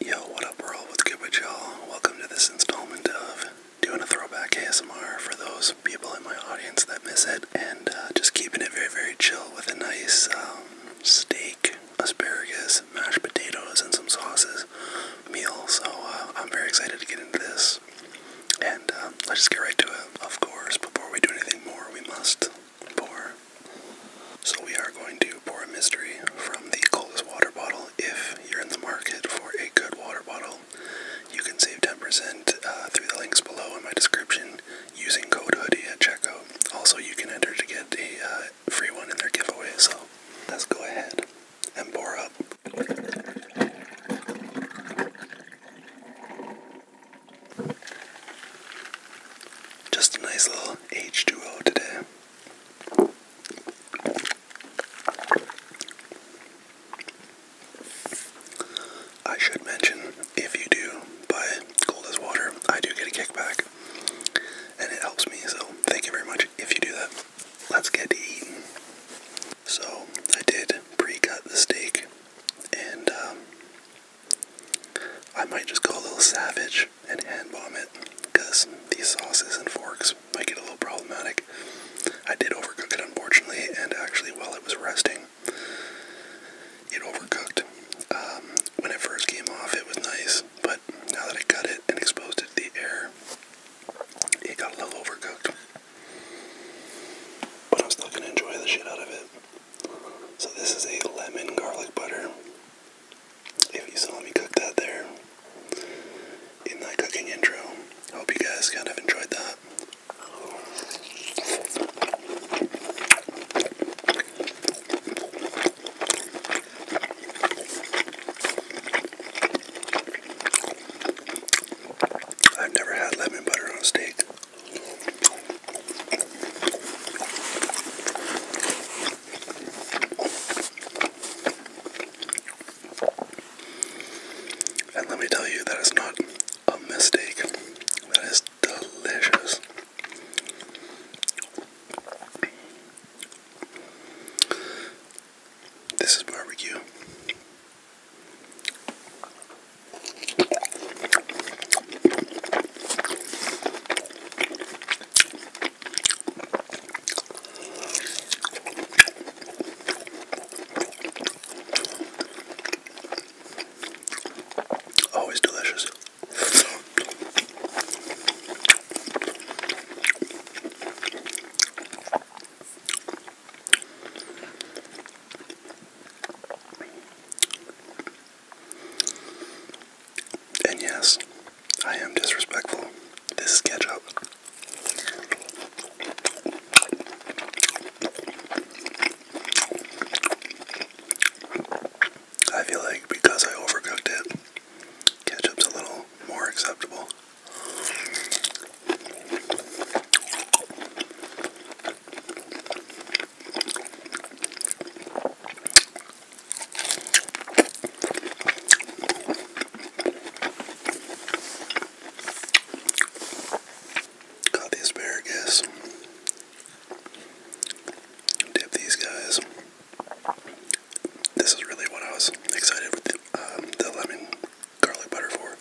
Yo, what up, world? What's good with y'all? Welcome to this installment of doing a throwback ASMR for those people in my audience that miss it, and uh, just keeping it very, very chill with a nice um, steak, asparagus, mashed potatoes, and some sauces meal. So uh, I'm very excited to get into this, and uh, let's just get right to it. Of course, before we do anything more, we must pour. So we are going to pour a mystery from the coldest water bottle, if you're in the market for a good water bottle, you can save 10% uh, through the links below in my description using code hoodie at checkout. Also, you can enter to get the uh, free one in their giveaway, so let's go ahead and pour up. Just a nice little H2O today. I should mention if you do buy Cold as Water, I do get a kickback and it helps me, so thank you very much if you do that. Let's get to eating. So, I did pre cut the steak and um, I might just go a little savage and hand bomb it because these sauces and forks might get a little problematic. I did overcook it unfortunately, and actually, while it was resting, it overcooked. Um, when it first came off, it was nice, but now that I cut it and exposed it to the air, it got a little overcooked. But I'm still gonna enjoy the shit out of it. So, this is a lemon garlic butter if you saw me cook that there in my cooking intro, hope you guys kind of enjoyed that. I've never had lemon butter on steak. And let me tell you, that is not a mistake. That is delicious. This is barbecue. Always delicious. And yes, I am disrespectful. This is ketchup. I feel like because I overcooked it, ketchup's a little more acceptable. Got the asparagus. Dip these guys. This is really what I was excited with the, um, the lemon garlic butter for.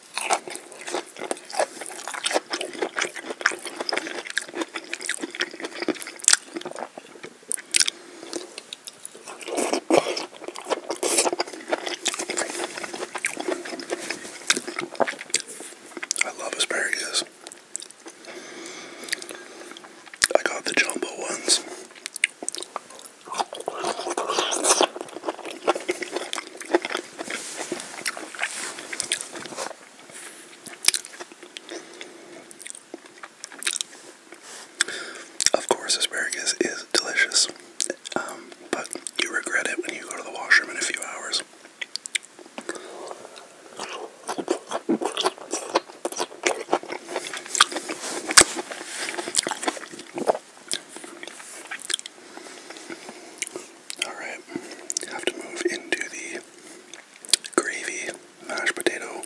I love asparagus. I got the jumbo ones. Of course, asparagus is delicious, um, but you regret it when you go to the washroom in a few hours. Alright, have to move into the gravy mashed potato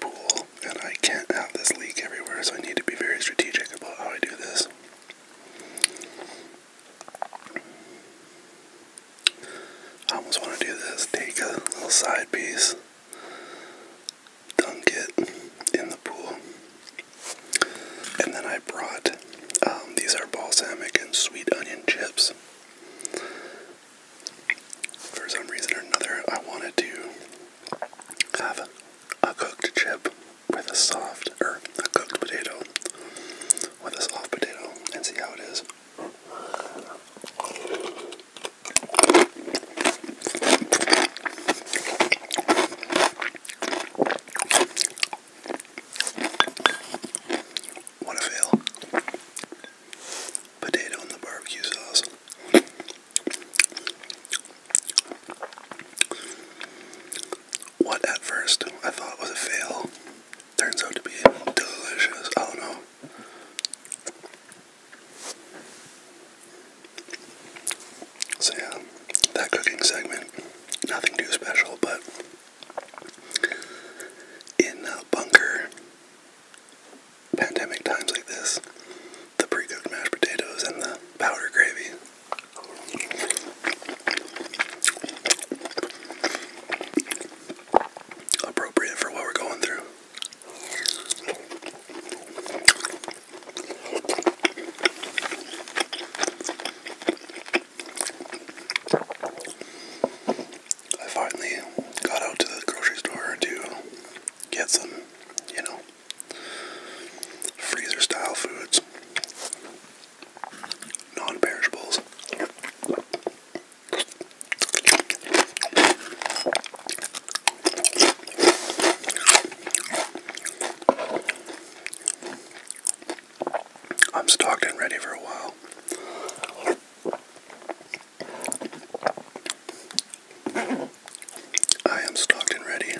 pool, and I can't have this leak everywhere, so I need to be very strategic about how I do this. I almost want to do this take a little side piece, dunk it in the pool, and then I brought um, these are balsamic and sweet onion chips. For some reason or another, I wanted to have a cooked chip with a soft, or a cooked potato with a soft potato and see how it is. What a fail. Potato in the barbecue sauce. What at first I thought was a fail turns out to be delicious. I don't know. So yeah, that cooking segment, nothing too special, but in a bunker pandemic times like this the pre-cooked mashed potatoes and the powder gravy appropriate for what we're going through I finally got out to the grocery store to get some, you know, freezer style foods, non perishables. I'm stocked and ready for a while. I am stocked and ready.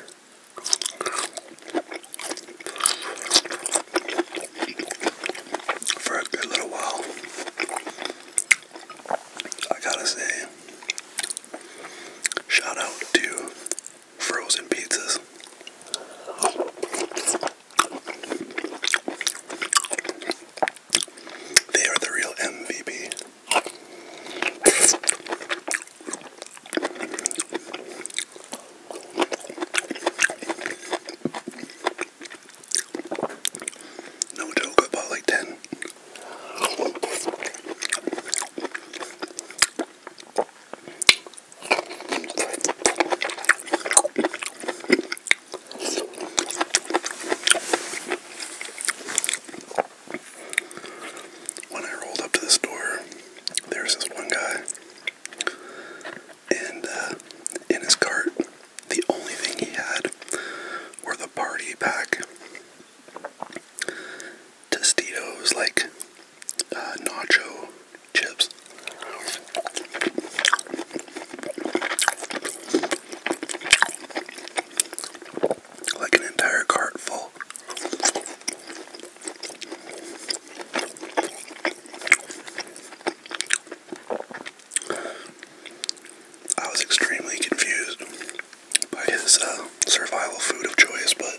For a little while, I gotta say, shout out to frozen pizzas. They are the real MVP. No joke, about like 10. When I rolled up to the store, there's this one guy, and uh, in his cart, the only thing he had were the party pack. Tostitos, like uh, nacho chips. Like an entire cart full. I was extremely confused by his uh, survival food of choice, but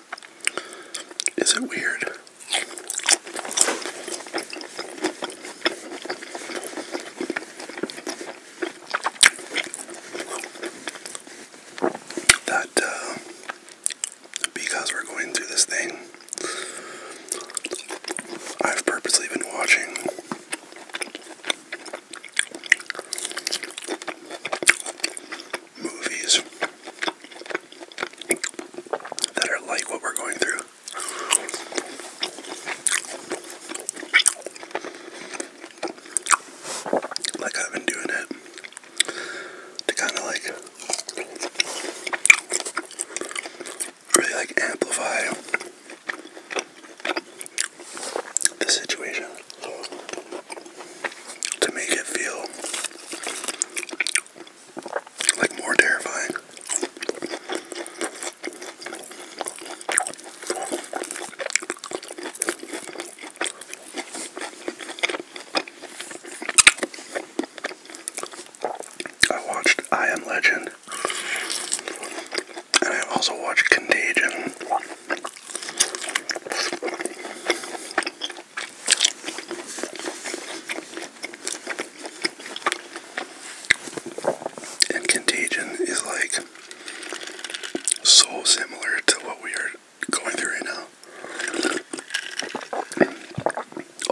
Is it weird? That because uh, we're going through this thing, I've purposely been watching movies that are like what we're going through. Like I've been doing it to kind of like really like amplify the situation to make it feel like more terrifying. I watched I Am Legend and I also watched Contagion. And Contagion is like so similar to what we are going through right now.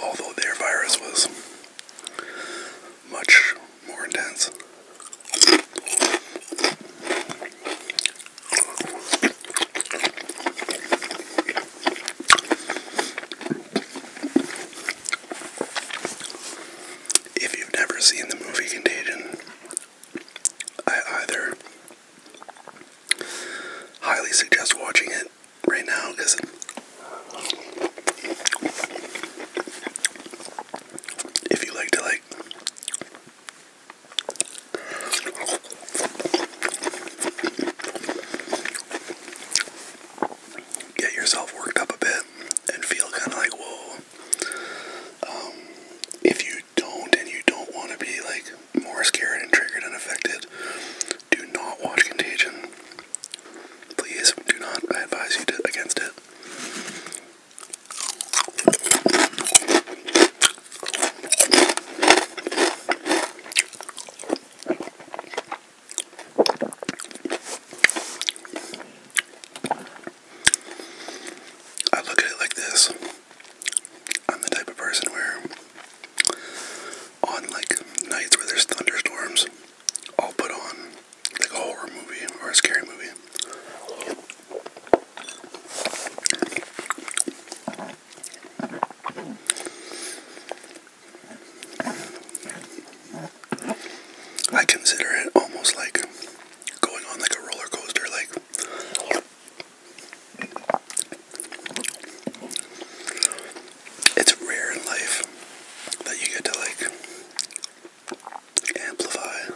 Although their virus was much more intense. If you've never seen the movie Contagion, I either highly suggest watching it right now because if you like to like Get yourself worked up a bit and feel kind of like, whoa. Um, if you don't and you don't want to be like more scared and triggered and affected, do not watch Contagion. Please do not. I advise you to, against it. I look at it like this. I'm the type of person where on like nights where there's thunderstorms, I'll put on like a horror movie or a scary movie. I consider it almost like going on like a roller coaster, like it's rare in life that you get to like amplify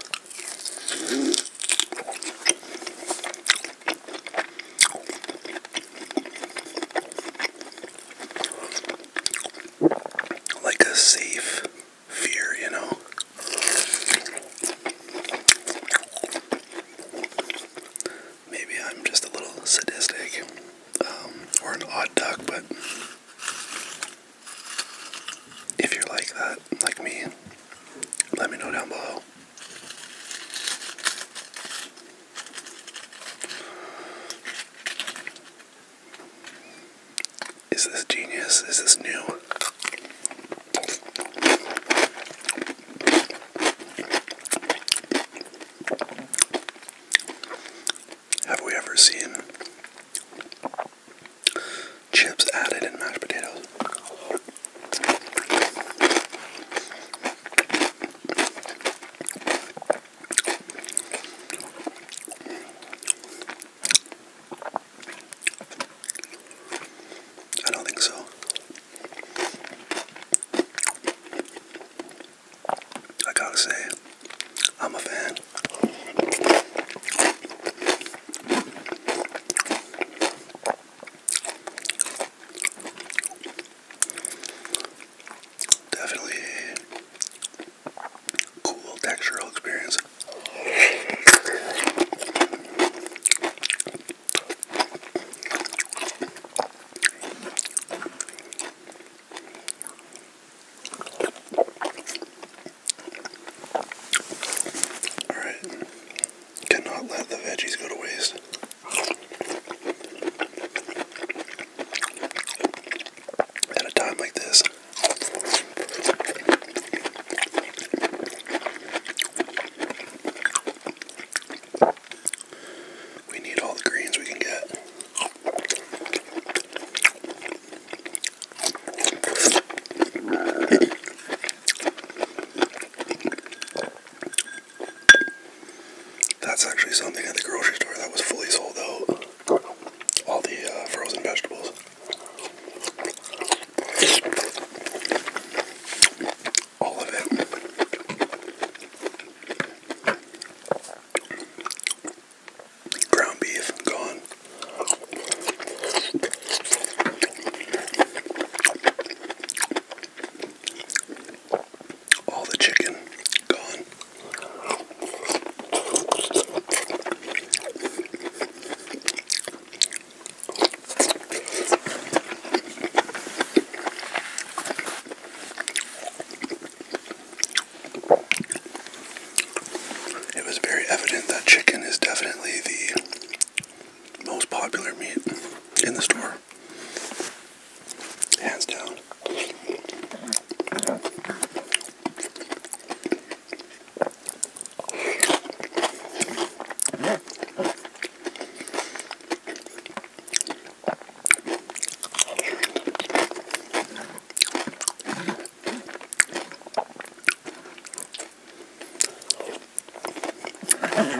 like a safe fear, you know. Maybe I'm just a little sadistic um, or an odd duck, but if you're like that, like me, let me know down below. Is this genius? Is this new? Have we ever seen chips added in mashed potatoes? I don't think so. I gotta say, I'm a fan. Definitely a cool textural experience. All right. Cannot let the veggies go to waste. At a time like this, we need all the greens we can get. That's actually something at the grocery store that was fully sold out. All the uh, frozen vegetables. All of it. Ground beef gone. All the chicken gone. It was very evident that chicken is definitely the most popular meat in the store. Hands down.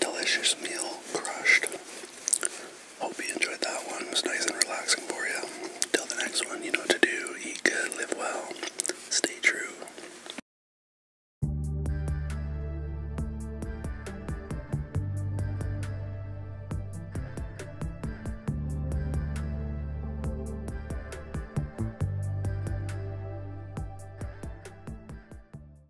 delicious meal crushed. Hope you enjoyed that one. was nice and relaxing for you. Till the next one, you know what to do. Eat good, live well, stay true.